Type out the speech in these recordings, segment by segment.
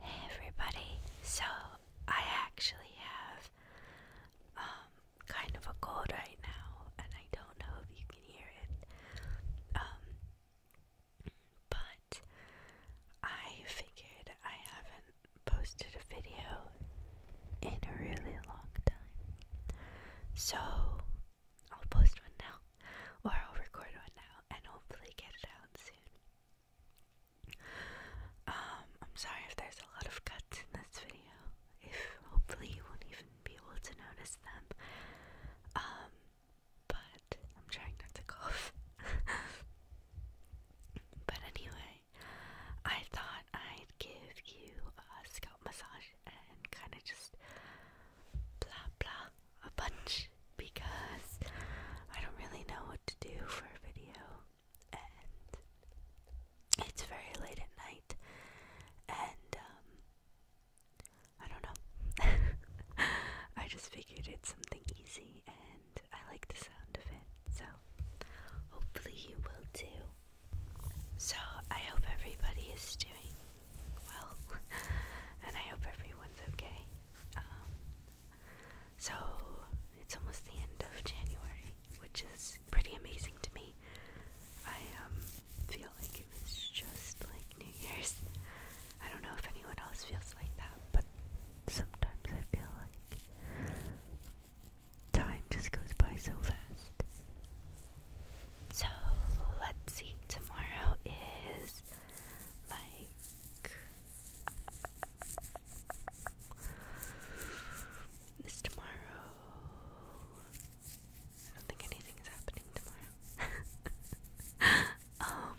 Hey everybody, so I actually have um, kind of a cold right now and I don't know if you can hear it. Um, but I figured I haven't posted a video in a really long time. So I'll post one now or I'll record one now and hopefully get it out soon. Um, I'm sorry if there's a lot of cuts in this video. If hopefully you won't even be able to notice them. Um, but I'm trying not to cough. but anyway, I thought I'd give you a scalp massage and kind of just blah blah a bunch because I don't really know what to do for a video and it's very late at night and um, I don't know. I just figured it's something easy and I like the sound of it. So hopefully you will too. So I hope everybody is doing well, and I hope everyone's okay. Um, so, it's almost the end of January, which is pretty amazing to me. I um, feel like it was just like New Year's. I don't know if anyone else feels like that, but sometimes I feel like time just goes by so fast. So let's see, tomorrow is like. Is tomorrow. I don't think anything is happening tomorrow. um.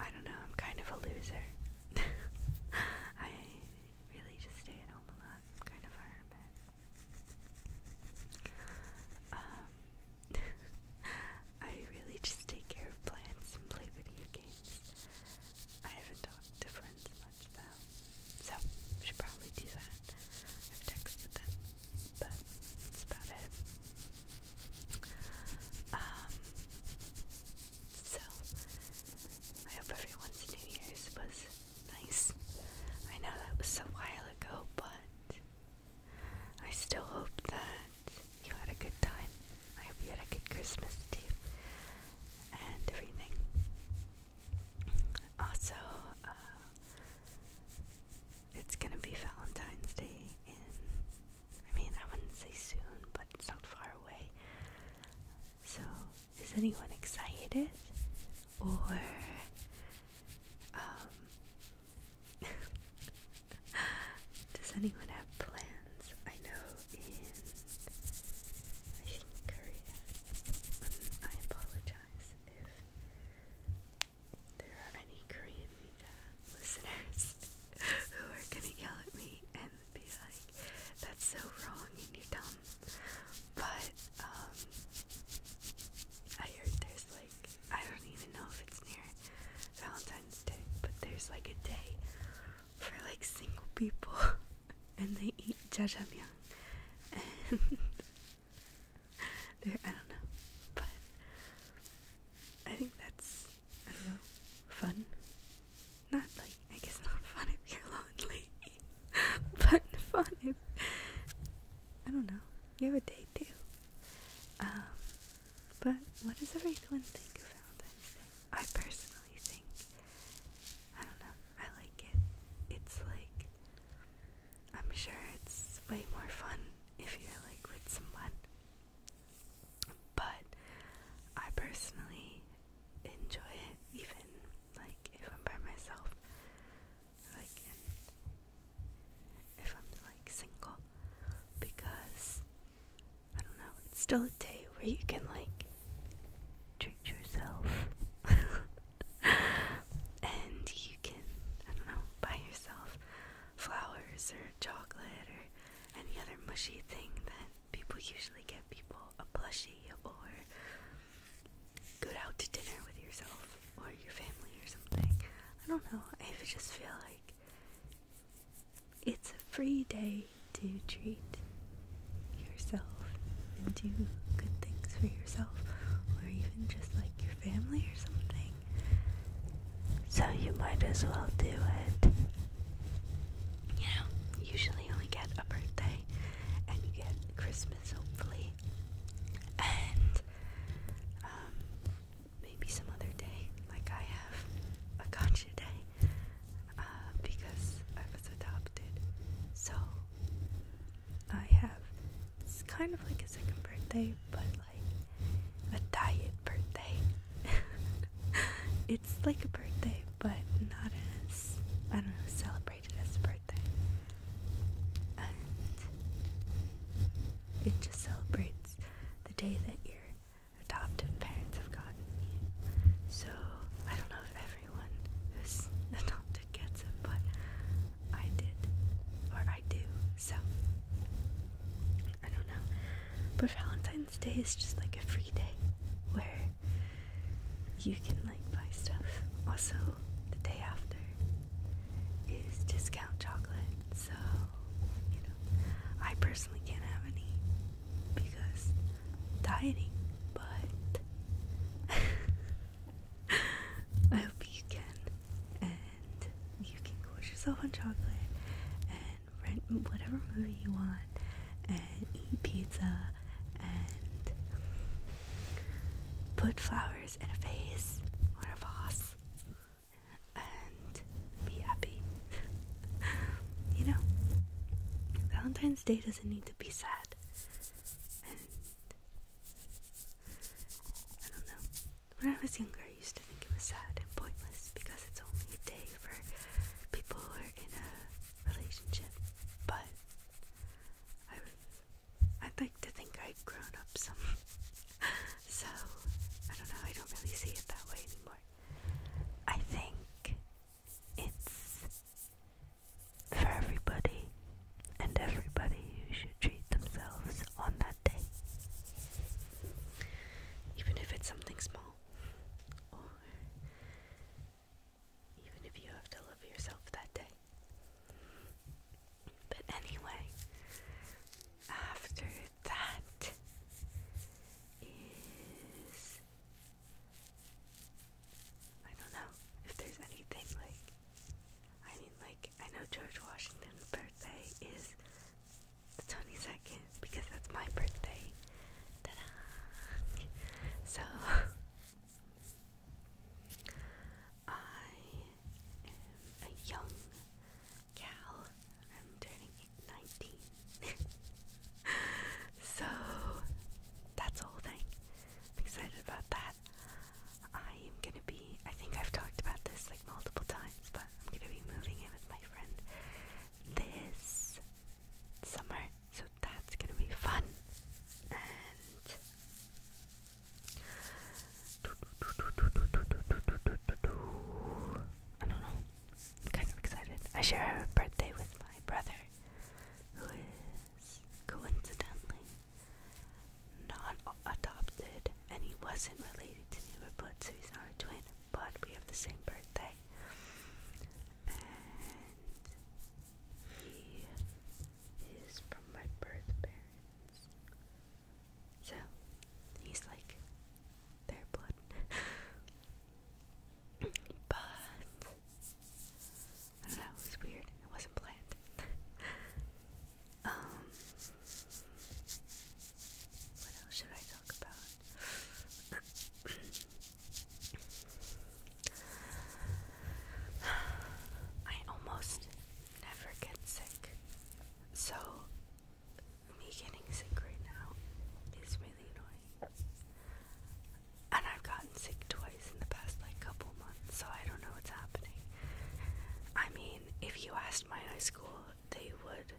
I don't know, I'm kind of a loser. I really just stay at home a lot. kind of a um, I really just take care of plants and play video games. I haven't talked to friends much though, so should probably do that. I've texted them, but that's about it. Um, so I hope everyone's New Year's was Nice. I know that was a while ago, but I still hope that you had a good time. I hope you had a good Christmas too. And everything. Also, uh, it's gonna be Valentine's Day I mean, I wouldn't say soon, but it's not far away. So, is anyone excited? Or um, does anyone have plans? I know in, I think, Korea. Um, I apologize if there are any Korean media listeners who are gonna yell at me and be like, that's so wrong and you're dumb but um, I heard there's like I don't even know if it's near Valentine's Day, but there's like a day for like single people, and they eat jajangmyeon, and there I don't know, but I think that's I don't know fun. Not like I guess not fun if you're lonely but fun I don't know. You have a date too. Um, but what does everyone think about Valentine's I personally think I don't know. I like it. It's like I'm sure it's way more fun if you're like with someone. But I personally enjoy it even like if I'm by myself, like if I'm like single, because I don't know, it's still a day where you can like treat yourself and you can, I don't know, buy yourself flowers or chocolate or any other mushy thing that people usually get people a plushie or go out to dinner with yourself or your family or something. I don't know. If you just feel like it's a free day to treat yourself and do good things for yourself or even just like your family or something. So you might as well do it. You usually only get a birthday and you get Christmas hopefully and um, maybe some other day, like I have a gotcha day, uh, because I was adopted. So I have it's kind of like a second birthday, but like a diet birthday. it's like a birthday, but not as I don't know, celebrate celebrated his birthday. it just celebrates the day that your adoptive parents have gotten you. So I don't know if everyone who's adopted gets it, but I did. Or I do. So I don't know. But Valentine's Day is just like a free day where you can like buy stuff. Also, the day after is discount chocolate, so you know, I personally can't have any because dieting, but I hope you can and you can gorge yourself on chocolate and rent whatever movie you want and eat pizza and put flowers flowers or a vase and be happy. you know, Valentine's Day doesn't need to be sad. I don't know. When I was younger, I used to think it was sad and pointless because it's only a day for people who are in a relationship. But I I'd like to think i have grown up some. so, I don't know, I don't really see it that way anymore. I think it's for everybody, and everybody should treat themselves on that day. Even if it's something small, even if you have to love yourself that day. But anyway, after that is I don't know if there's anything like I mean like I know George Washington's birthday is the 22nd because that's my birthday. Ta-da! So I am a young gal. I'm turning 19. so that's the whole thing. excited about that. I am gonna be, I think I've talked about this like multiple times, but I'm gonna be moving in with my friend this summer. So that's gonna be fun. And I don't know. I'm kind of excited. I share a birthday with my brother, who is coincidentally not adopted, and he wasn't related to me. but so he's not a twin, but we have the same birthday. And he is from my birth parents. So, he's like their blood. but, I was weird. It wasn't planned. um, what else should I talk about? I almost never get sick, so me getting sick right now is really annoying. And I've gotten sick twice in the past like couple months, so I don't know what's happening. I mean, if you asked my high school, they would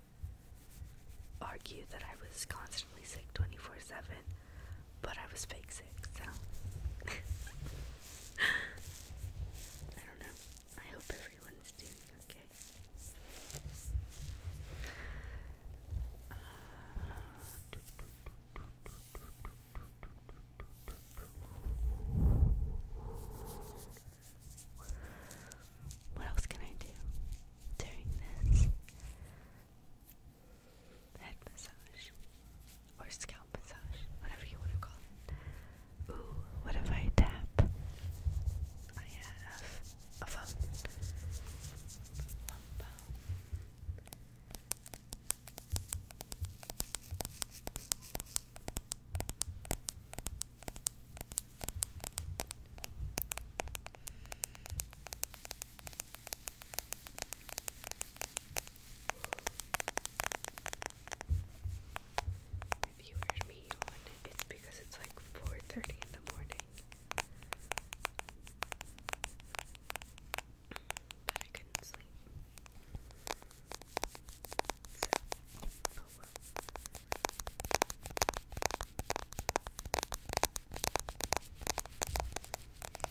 argue that I was constantly sick 24 7, but I was fake sick, so I don't know. I hope everyone's doing okay. Uh, what else can I do during this? head massage or scalp massage, whatever you want to call it. Ooh, what if I tap? I have a phone. If you heard me it's because it's like 4.30 in the morning. I could sleep. Oh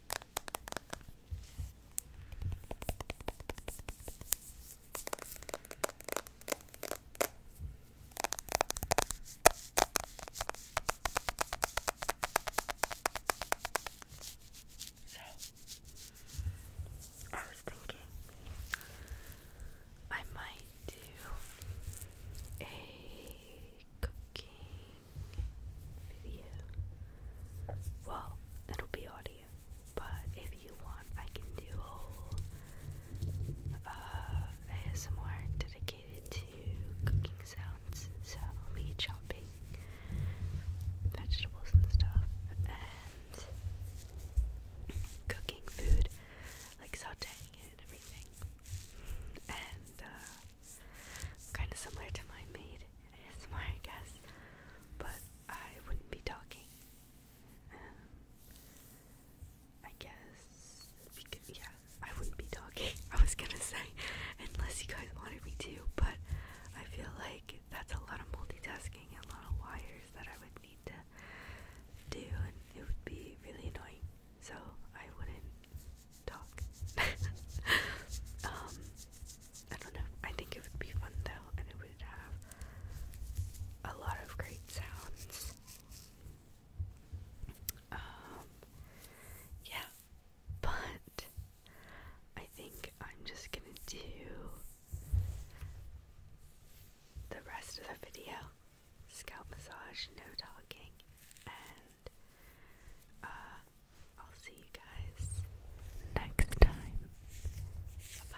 So, I was thinking I might do a cooking video. Well, it'll be audio, but if you want, I can do a uh, ASMR dedicated to cooking sounds. So, me chopping vegetables and stuff, and cooking food, like sauteing it and everything. And, uh, Kind of similar to my maid ASMR, I guess, but I wouldn't be talking. Um, I guess, yeah, I wouldn't be talking. I was gonna say, unless you guys wanted me to, but I feel like that's a lot of multitasking and a lot of wires that I would need to do, and it would be really annoying. So I wouldn't talk. Um, I don't know. I think it would be fun though, and it would have a lot of great sounds. Um, yeah, but I think I'm just gonna do the rest of the video scalp massage, no talking, and uh, I'll see you guys next time. Bye.